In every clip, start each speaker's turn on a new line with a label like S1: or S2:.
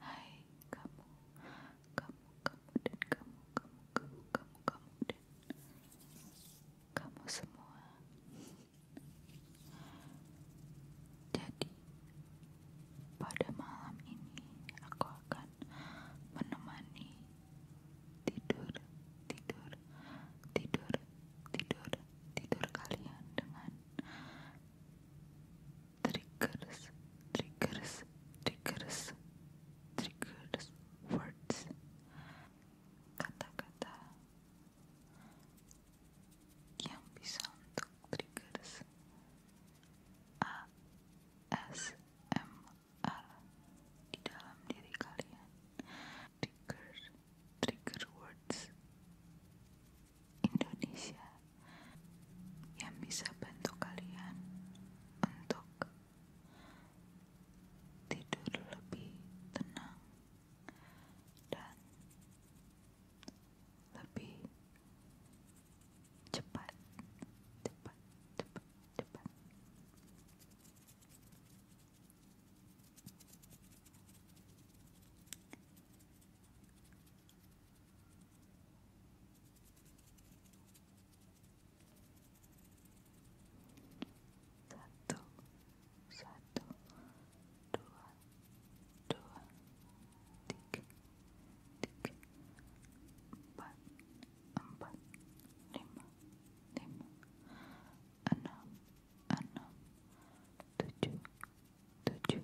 S1: hai kamu kamu kamu dan kamu kamu kamu kamu kamu dan kamu semua jadi pada malam ini aku akan menemani tidur tidur tidur tidur tidur kalian dengan triggers triggers triggers triggers words kata-kata yang bisa untuk triggers A S M l di dalam diri kalian triggers triggers words Indonesia yang bisa bantu kalian untuk tidur lebih tenang dan lebih cepat cepat cepat cepat satu satu dua dua tiga tiga empat empat lima lima enam enam tujuh tujuh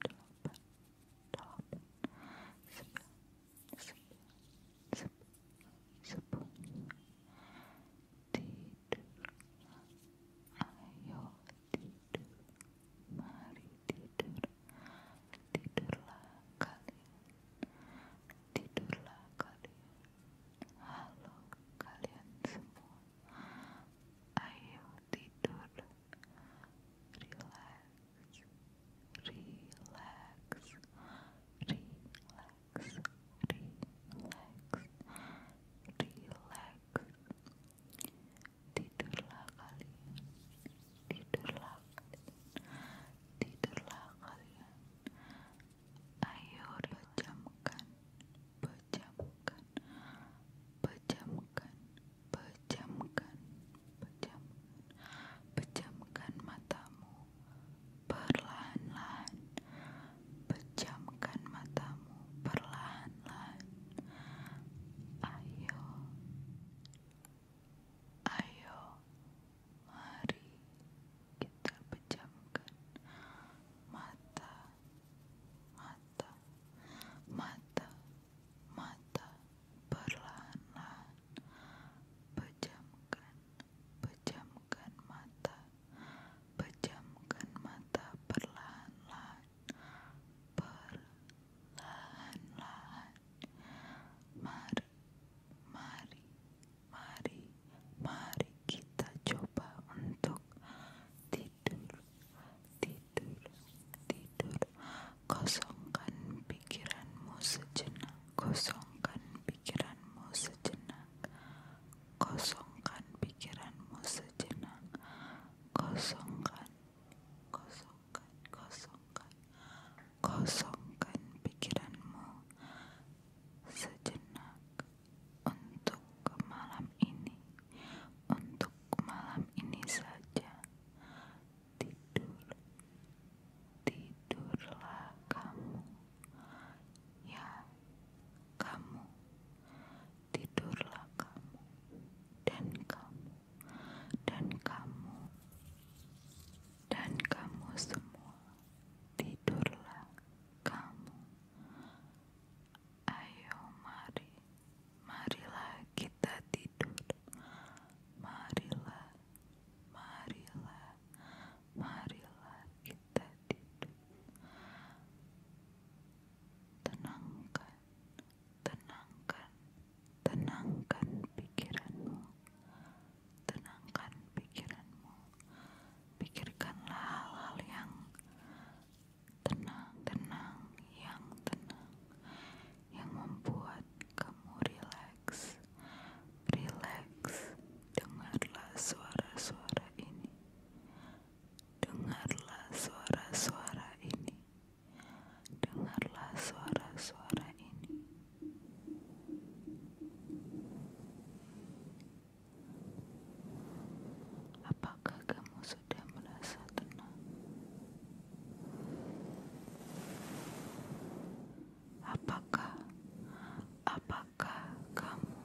S1: delapan Ayo tidur, mari tidur, tidurlah kalian, tidurlah kalian. Halo kalian semua, ayo tidur relax, relax, relax, relax, relax. Tidurlah kalian, tidurlah kalian, tidurlah kalian. Ayo pejamkan, pejamkan, pejamkan Pejamkan, pejamkan, pejamkan matamu perlahan-lahan. Pejamkan matamu perlahan-lahan. Ayo, ayo, mari kita pejamkan mata, mata, mata mata perlahan-lahan pejamkan mata pejamkan mata perlahan-lahan mari mari mari mari kita coba untuk tidur tidur tidur tidur kosongkan pikiranmu sejenak kosongkan pikiranmu sejenak kosongkan pikiranmu sejenak kosongkan kosongkan kosongkan kosongkan pikiranmu sejenak untuk ke ini untuk malam ini saja. Tidur, tidurlah kamu. Ya, kamu tidurlah kamu dan kamu dan kamu dan kamu semua tidurlah kamu. Ayo mari, marilah kita tidur. Marilah, marilah, marilah kita tidur. Tenangkan, tenangkan, tenangkan pikiranmu. Tenangkan pikiranmu. Pikirkanlah hal-hal yang tenang, tenang, yang tenang, yang membuat kamu rileks. Rileks, dengarlah suara-suara ini. Dengarlah suara-suara ini. Dengarlah suara-suara ini. Apakah kamu sudah merasa tenang. Apakah, apakah kamu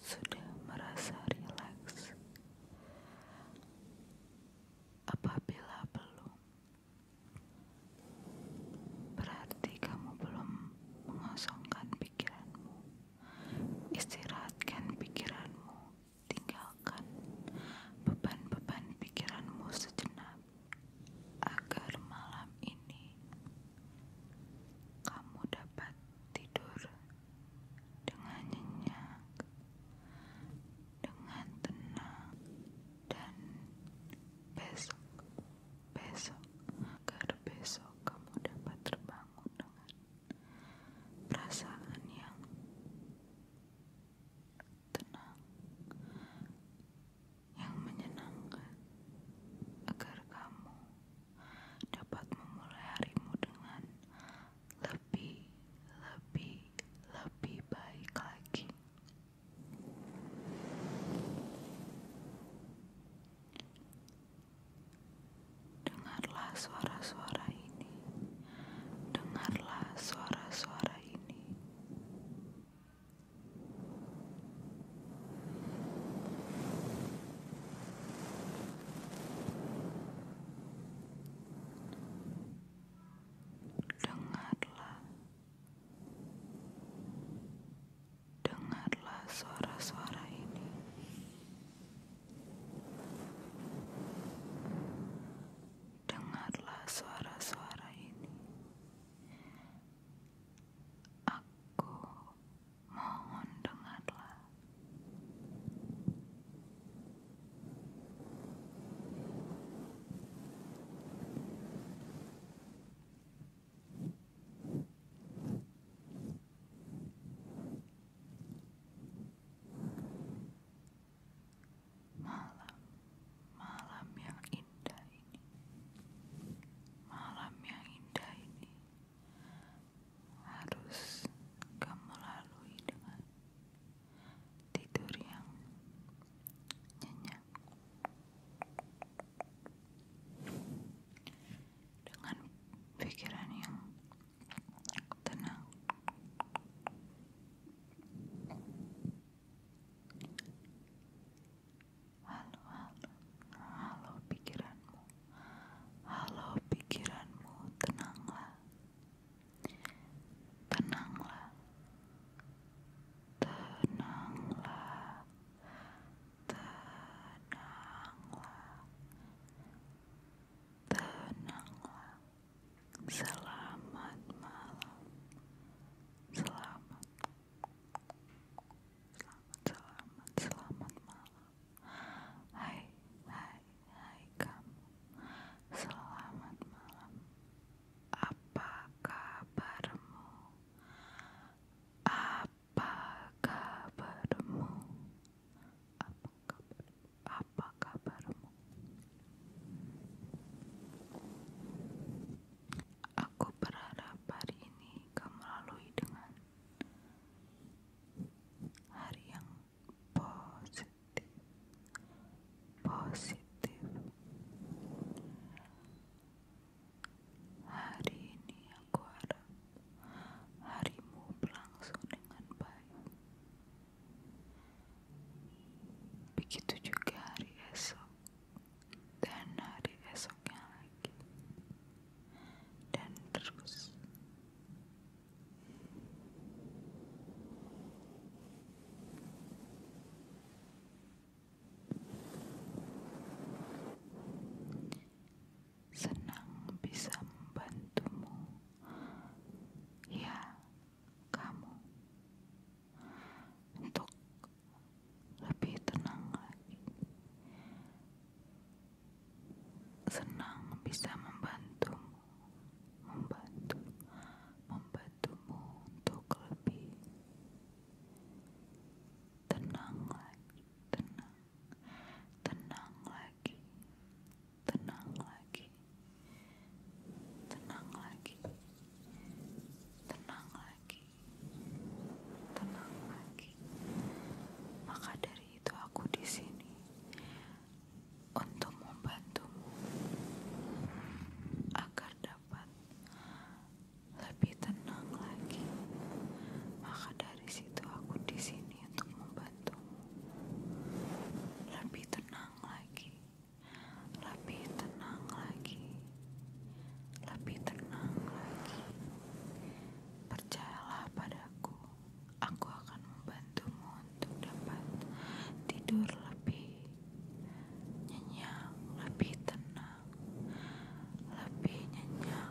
S1: sudah merasa rileks? Apabila belum, berarti kamu belum mengosongkan pikiranmu. Istirahatkan pikiranmu Tinggalkan beban-beban pikiranmu sejenak agar malam ini kamu dapat tidur dengan nyenyak, dengan tenang, dan besok, besok, agar besok kamu dapat terbangun dengan perasaan yang tenang yang menyenangkan agar kamu dapat memulai harimu dengan lebih lebih lebih baik lagi Dengarlah suara-suara ini. Dengarlah suara-suara ini. Dengarlah. Dengarlah suara-suara ini. Dengarlah suara-suara ini. Aku mohon dengarlah. Malam, malam yang indah ini, malam yang indah ini harus kamu lalui dengan tidur yang nyenyak, dengan pikiran yang tenang halo halo pikiranmu halo pikiranmu tenanglah tenanglah tenanglah tenanglah tenanglah selamat malam selamat selamat selamat malam hai hai hai kamu selamat malam apa kabarmu apa kabarmu apa, kabarmu? Aku berharap hari ini kamu lalui dengan hari yang positif. Hari ini aku harap harimu berlangsung dengan baik. Begitu juga hari esok dan hari esoknya lagi dan terus senang bisa membantumu. Ya, kamu. Untuk lebih tenang lagi. Senang bisa membantumu. Membantu. Membantumu untuk lebih tenang lagi tenang, tenang lagi, tenang lagi, tenang lagi, tenang lagi, tenang lagi. Maka dari itu aku di sini untuk membantumu agar dapat lebih tenang lagi. Maka dari di situ aku di sini untuk membantumu lebih tenang lagi lebih tenang lagi lebih tenang lagi percayalah padaku aku akan membantumu untuk dapat tidur lebih nyenyak lebih tenang lebih nyenyak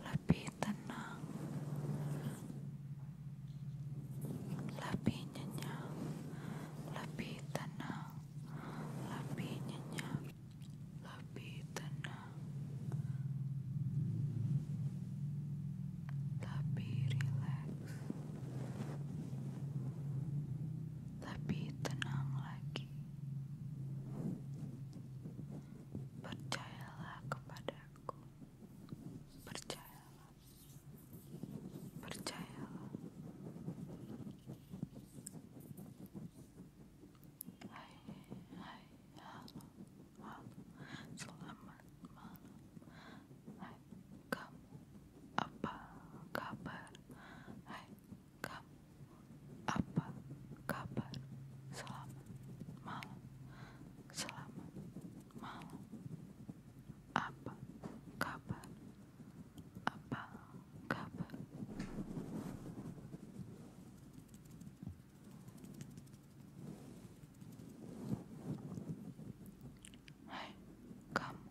S1: lebih tenang, lebih nyenyak, lebih tenang, lebih nyenyak, lebih tenang, lebih rileks, lebih tenang lagi. Percayalah kepadaku. Percayalah. Percayalah. Hai, hai, halo, halo. Selamat malam. Hai, kamu. Apa kabar? Hai, kamu apa kabar selamat malam selamat malam apa kabar apa kabar Hai kamu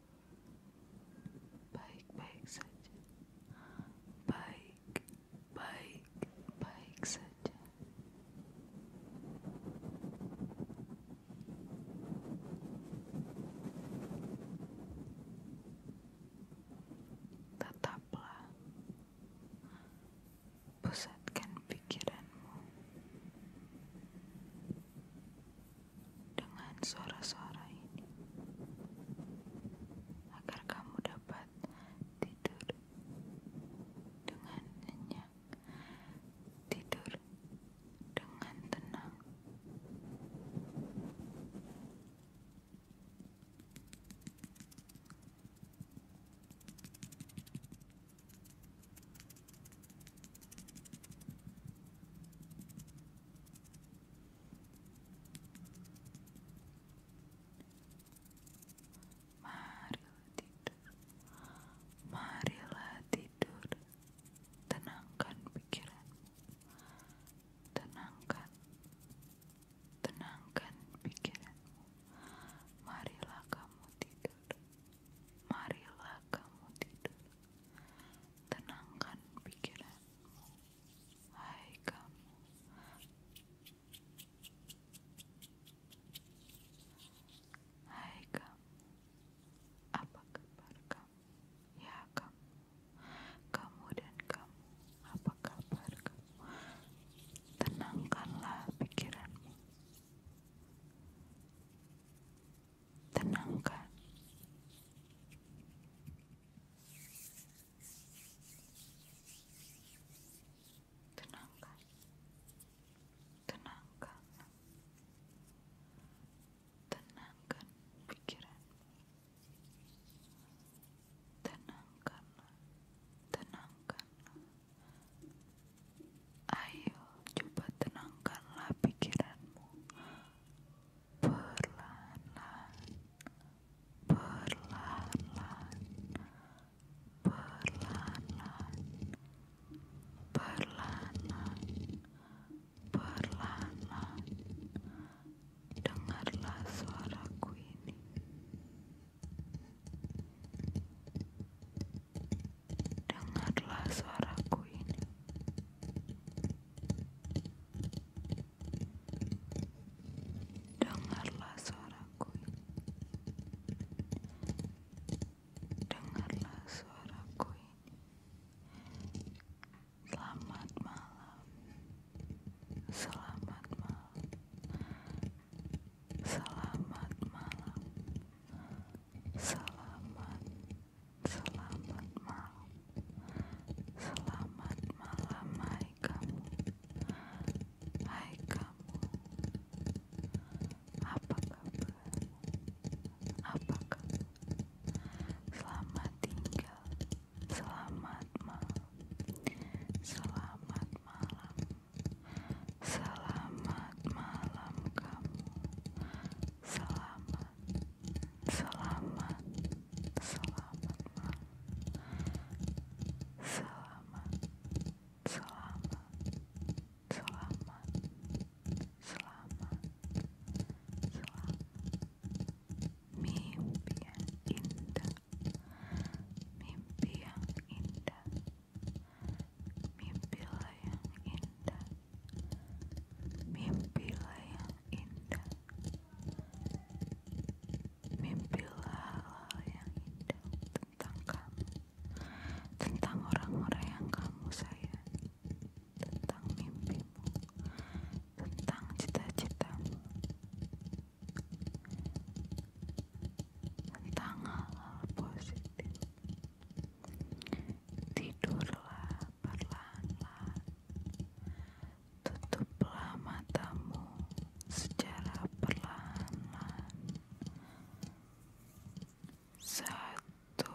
S1: baik-baik saja baik baik baik saja tetaplah pusatkan pikiranmu dengan suara-suara ini agar kamu dapat tidur dengan nyenyak, tidur dengan tenang. Marilah tidur, marilah tidur, tenangkan pikiranmu, tenangkan, tenangkan pikiranmu, marilah kamu tidur, marilah kamu tidur, Tenangkan pikiranmu, hai kamu. Hai kamu, apa kabar kamu? Ya kamu, kamu dan kamu, apa kabar kamu? Tenangkanlah pikiranmu tenangkan. Tenangkan. Tenangkan. Tenangkan pikiran. Tenangkan. Tenangkan. Ayo, coba tenangkanlah pikiranmu. perlahan perlahan perlahan perlahan perlahan Dengarlah suaraku ini. Dengarlah suaraku ini. Dengarlah suaraku ini. Dengarlah suaraku ini. Selamat malam. Selamat malam. Selamat malam. Selamat, selamat malam, selamat malam, hai kamu, hai kamu, apa kabar, apa selamat tinggal, selamat malam, selamat malam, selamat. malam kamu selamat selamat selamat malam selamat selamat selamat selamat selamat mimpi yang indah mimpi yang indah mimpilah yang indah mimpilah yang indah mimpilah hal yang indah tentang kamu tentang orang-orang yang kamu sayang tentang mimpimu tentang cita-citamu tentang hal-hal positif Tidurlah perlahan-lahan. Tutuplah matamu secara perlahan-lahan. Satu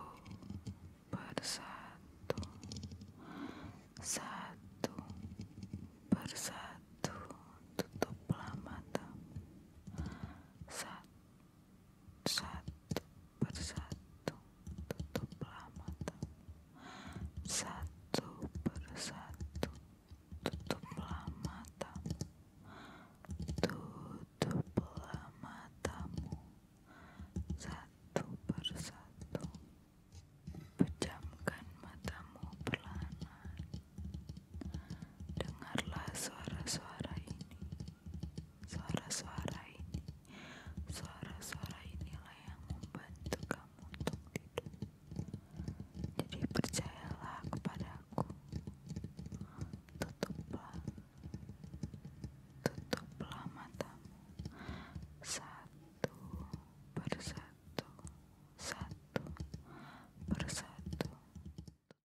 S1: persatu. Satu persatu tutuplah matamu. Satu satu persatu tutuplah matamu satu persatu tutuplah matamu tutuplah matamu satu persatu pejamkan matamu perlahan Dengarlah suara-suara ini, suara-suara ini, suara-suara inilah yang membantu kamu untuk tidur. Jadi percayalah kepadaku, tutuplah, tutuplah matamu satu persatu, satu persatu.